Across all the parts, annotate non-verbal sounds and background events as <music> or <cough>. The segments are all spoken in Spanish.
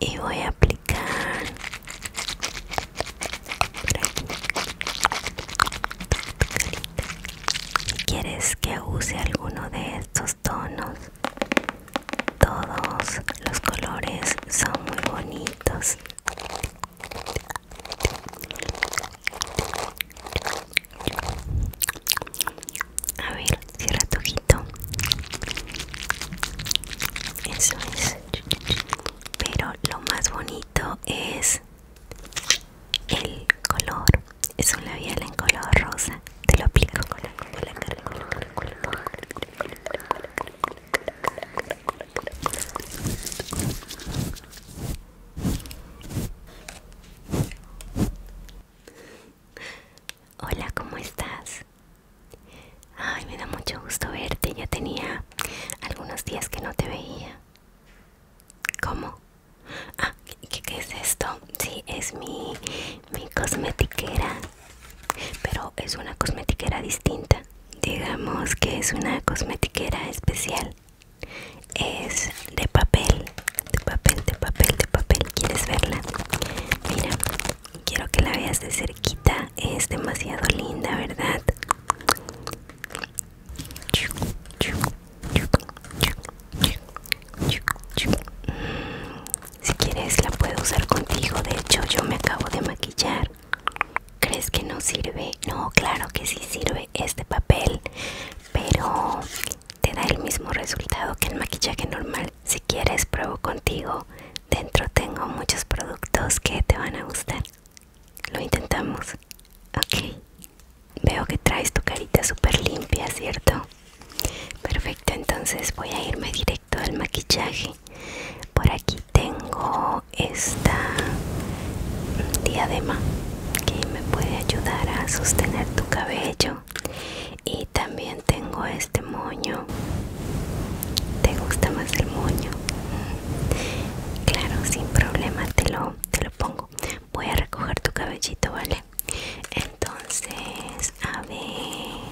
y voy a aplicar Si quieres que use alguno de estos tonos todos los colores son muy bonitos a ver, cierra tu ojito. Eso es. Pero lo más bonito es el color. Es un labial en color rosa. Te lo aplico con la con la cara. Hola, ¿cómo estás? Ay, me da mucho gusto verte. Ya tenía algunos días que no te veía. ¿Cómo? Ah, ¿qué, es esto? Sí, es mi cosmetiquera. Pero es una cosmetiquera distinta. Digamos que es una cosmetiquera especial es de papel de papel de papel de papel quieres verla mira quiero que la veas de cerquita es demasiado linda verdad mm, si quieres la puedo usar contigo de hecho yo me acabo de maquillar ¿Crees que no sirve? No, claro que sí sirve este papel pero te da el mismo resultado que el maquillaje normal. Si quieres, pruebo contigo. Dentro tengo muchos productos que te van a gustar. Lo intentamos. Ok. Veo que traes tu carita súper limpia, ¿cierto? Perfecto, entonces voy a irme directo al maquillaje. Por aquí tengo esta diadema que me puede ayudar a sostener tu cabello y también tengo este moño te gusta más el moño mm, claro sin problema te lo te lo pongo voy a recoger tu cabellito vale entonces a ver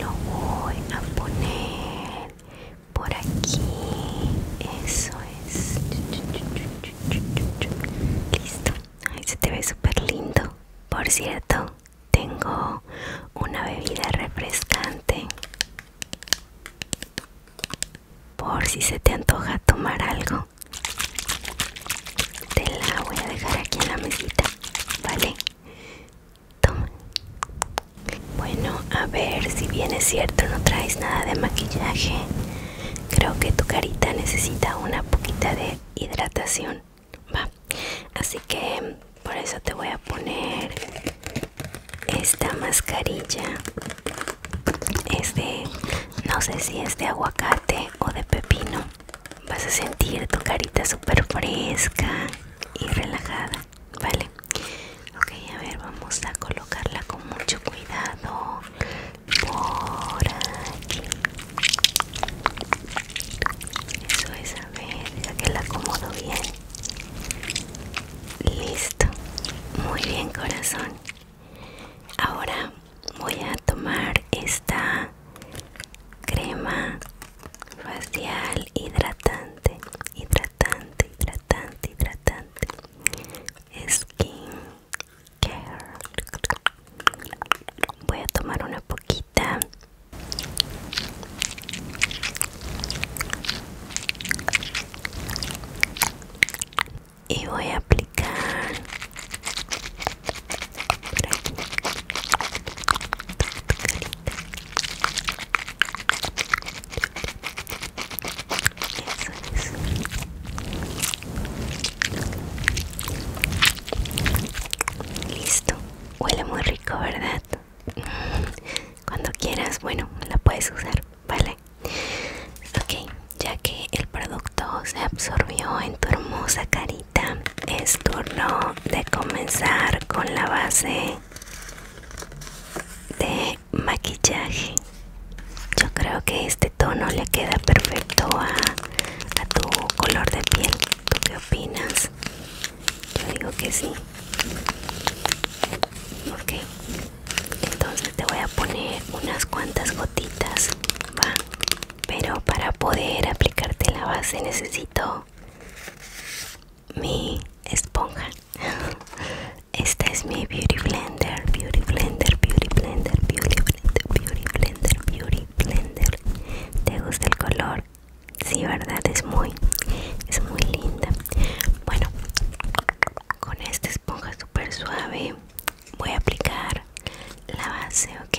lo voy a poner por aquí eso es listo ahí se te ve súper lindo por cierto tengo una bebida refrescante por si se te antoja tomar algo te la voy a dejar aquí en la mesita vale toma bueno, a ver si bien es cierto, no traes nada de maquillaje. Creo que tu carita necesita una poquita de hidratación. Así que por eso te voy a poner esta mascarilla. Es no sé si es de aguacate o de pepino. Vas a sentir tu carita súper fresca y relajada. ¿vale? Ok, a ver, vamos a colocarla con mucho cuidado por aquí. Eso es, a ver, ya que la acomodo bien. Listo. Muy bien, corazón. Ahora voy a tomar esta crema facial hidratante, hidratante, hidratante, hidratante skin care voy a tomar una poquita y voy a aplicar Listo. Huele muy rico, ¿verdad? Mm. Cuando quieras, bueno, la puedes usar, ¿vale? Ok, ya que el producto se absorbió en tu hermosa carita, es turno de comenzar con la base de maquillaje yo creo que este tono le queda perfecto a, a tu color de piel ¿tú qué opinas? yo digo que sí ok entonces te voy a poner unas cuantas gotitas va pero para poder aplicarte la base necesito mi esponja <laughs> Esta es mi Beauty Blender, Beauty Blender, Beauty Blender, Beauty Blender, Beauty Blender, Beauty Blender. ¿Te gusta el color? Sí, verdad, es muy, es muy linda. Bueno, con esta esponja súper suave voy a aplicar la base, ¿ok?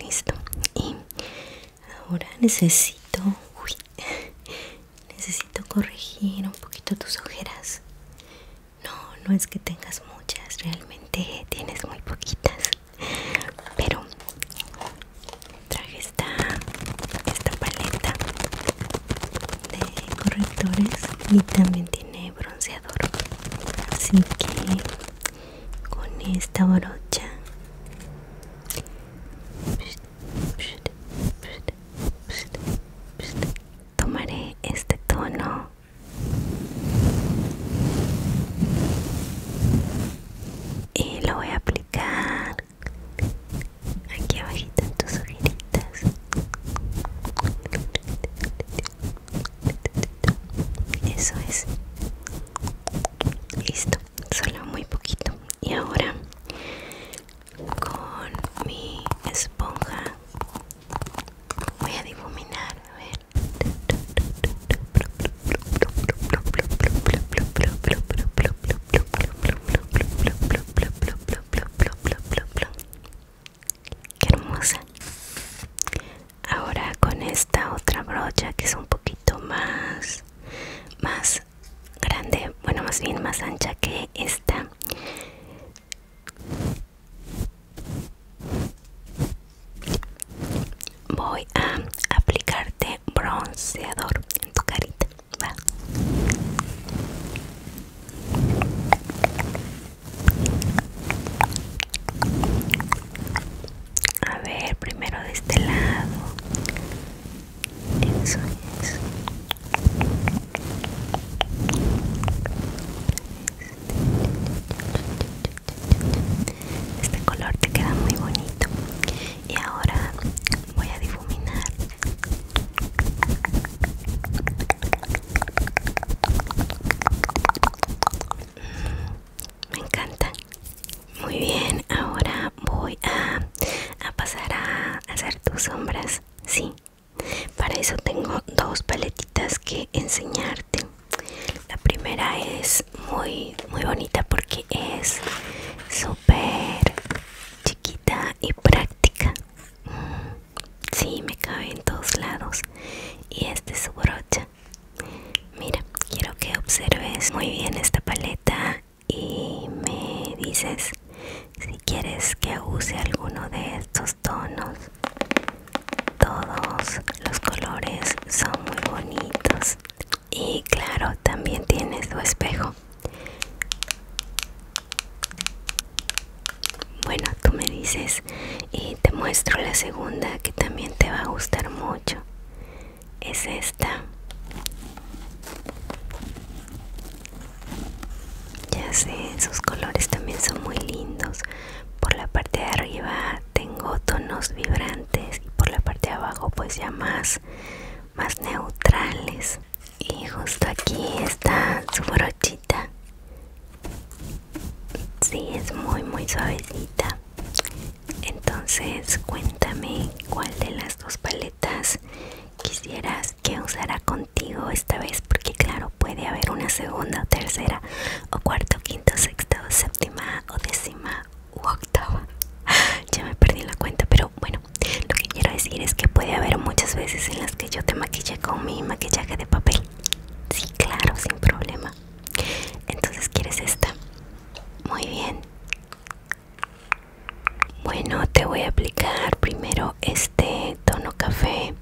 Listo. Y ahora necesito, uy, <laughs> necesito corregir un poquito tus ojeras. No, no es que tengas muchas, realmente tienes muy poquitas. Pero traje esta, esta paleta de correctores y también tiene tiene bronceador así que con esta brocha tomaré este tono y lo voy a aplicar aquí abajito en tu ojitos eso es listo solo muy poquito y ahora con mi esponja voy a difuminar a Qué hermosa. Ahora con esta otra brocha que es un poquito más más grande, bueno, más bien más ancha que esta. Voy a aplicarte bronceador en tu carita. A ver, primero de este lado. Este color te queda muy bonito. Y ahora voy a difuminar me encanta. Muy bien, ahora voy a, a pasar a hacer tus sombras. Sí, para eso tengo dos paletitas que enseñarte. La primera es muy, muy bonita porque es súper chiquita y práctica si me cabe en todos lados. Y este es su brocha. Mira, quiero que observes muy bien esta paleta y me dices si quieres que use alguno de estos tonos. Todos los colores son muy bonitos. Y claro, también tienes tu espejo. Bueno, tú me dices y te muestro la segunda que también te va a gustar mucho. Es esta. Ya sé, sus colores también son muy lindos. Por la parte de arriba tengo tonos vibrantes y por la parte de abajo pues ya más, más neutrales y justo aquí está su brochita Sí, es muy muy suavecita entonces cuéntame cuál de las dos paletas quisieras que usara contigo esta vez porque claro puede haber una segunda tercera o cuarta quinta sexta séptima o décima u octava <laughs> ya me perdí la cuenta pero bueno lo que quiero decir es que puede haber muchas veces en las que yo te maquille con mi maquillaje de papel. Sí, claro, sin problema. Entonces, ¿quieres esta? Muy bien. Bueno, te voy a aplicar primero este tono café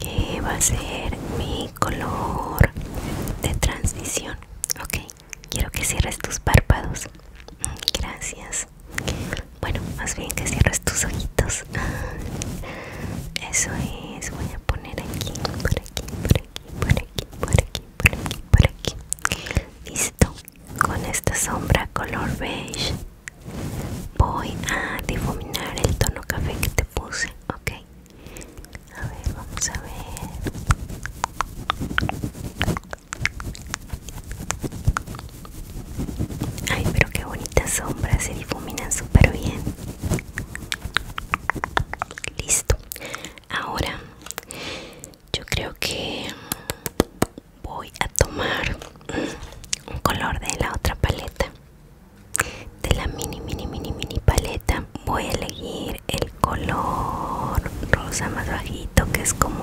que va a ser mi color de transición. Ok, quiero que cierres tus párpados. Mm, gracias. Bueno, más bien que cierres tus ojitos. <laughs> Eso es, voy a poner aquí, por aquí, por aquí, por aquí, por aquí, por aquí, Listo. Con esta sombra color beige voy a difuminar el tono café que te puse, ¿ok? A ver, vamos a ver. Ay, pero qué bonitas sombras, se difuminan súper bien. Listo. Ahora yo creo que voy a tomar un color de la otra paleta. De la mini, mini, mini, mini paleta. Voy a elegir el color rosa más bajito que es como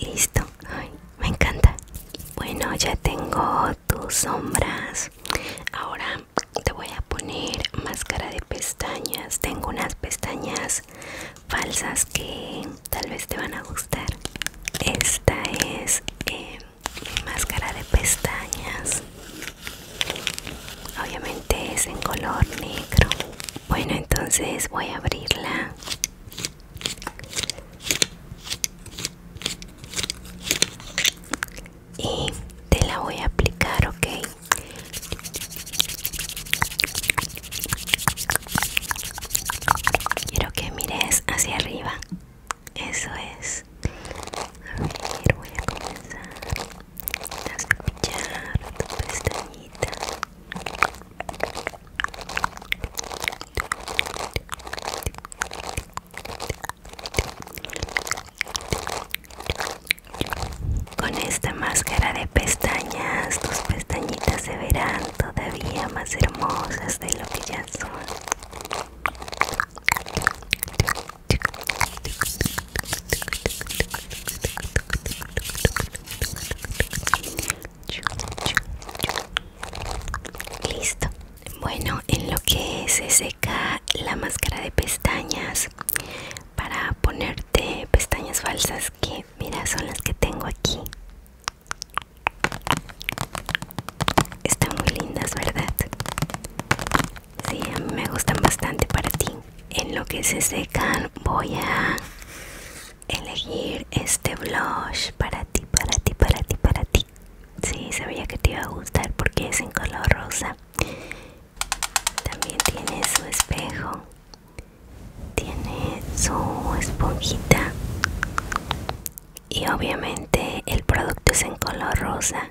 Listo, me encanta. Bueno, ya tengo tus sombras. Ahora te voy a poner máscara de pestañas. Tengo unas pestañas falsas que tal vez te van a gustar. Esta es eh, máscara de pestañas obviamente es en color negro bueno entonces voy a abrirla y te la voy a aplicar ok quiero que mires hacia arriba eso es a ver voy a comenzar con esta máscara de pestañas tus pestañitas se verán todavía más hermosas de lo que ya son Listo. Bueno, en lo que se seca la máscara de pestañas para ponerte pestañas falsas que mira son las que tengo aquí. Están muy lindas, ¿verdad? Sí, a mí me gustan bastante para ti. En lo que se secan voy a elegir este blush para ti, para ti, para ti, para ti. Sí, sabía que te iba a gustar porque es en color rosa. También tiene su espejo. Tiene su esponjita. Y obviamente el producto es en color rosa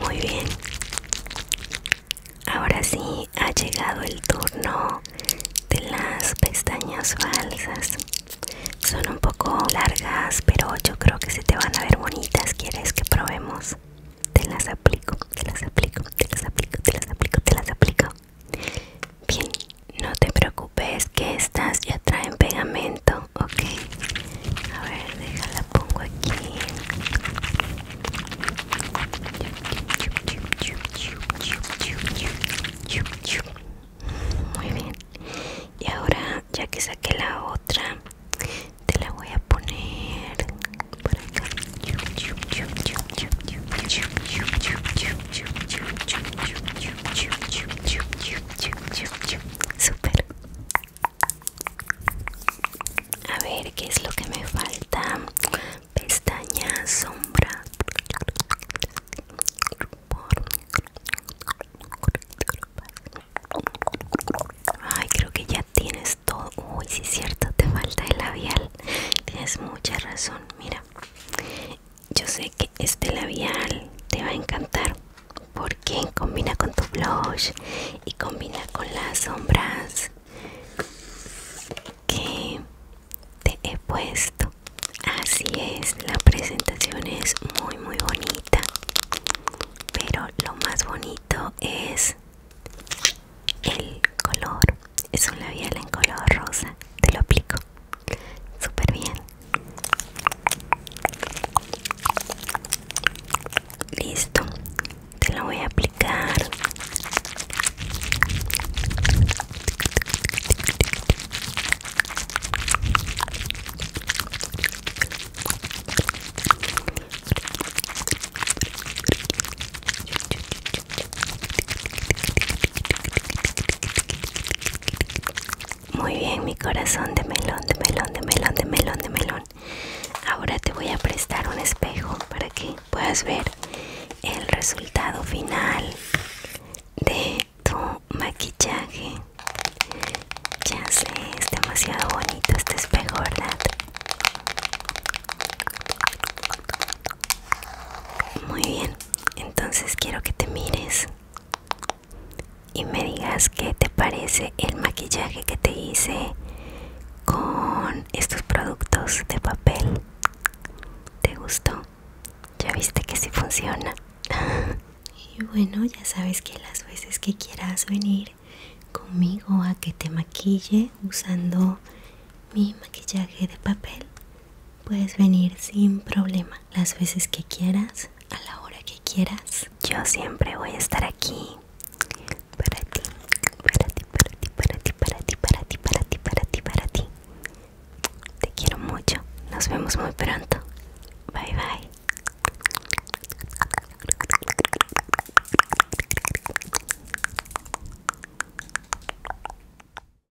muy bien. Ahora sí ha llegado el turno de las pestañas falsas. Son un poco largas, pero yo creo que se te van a ver bonitas. ¿Quieres que probemos? Te las aplico, te las aplico, te las aplico, te las aplico, te las aplico. Bien, no te preocupes que estas ya traen pegamento ok. A ver, déjala, pongo aquí. Muy bien. Y ahora, ya que saqué la otra, te la voy a poner por acá. Super. A ver, ¿qué es lo que me falta? Pestaña, sombra. Ay, creo que ya tienes todo. Uy, sí es cierto, te falta el labial. Tienes mucha razón, mira yo sé que este labial te va a encantar porque combina con tu blush y combina con las sombras que te he puesto así es la presentación es muy muy bonita pero lo más bonito es el color es un labial en color rosa te lo aplico super bien listo te lo voy a aplicar muy bien, mi corazón de melón, de melón, de melón, de melón, de melón. Ahora te voy a prestar un espejo para que puedas ver el resultado final de tu maquillaje. Ya sé, es demasiado bonito este espejo, ¿verdad? Muy bien, entonces quiero que te mires y me digas qué te parece el maquillaje que te hice con estos productos de papel. ¿Te gustó? Ya viste que sí funciona. <laughs> y bueno, ya sabes que las veces que quieras venir conmigo a que te maquille usando mi maquillaje de papel, puedes venir sin problema las veces que quieras, a la hora que quieras. Yo siempre voy a estar aquí para ti, para ti, para ti, para ti, para ti, para ti, para ti, para ti, para ti. Te quiero mucho. Nos vemos muy pronto. Bye bye.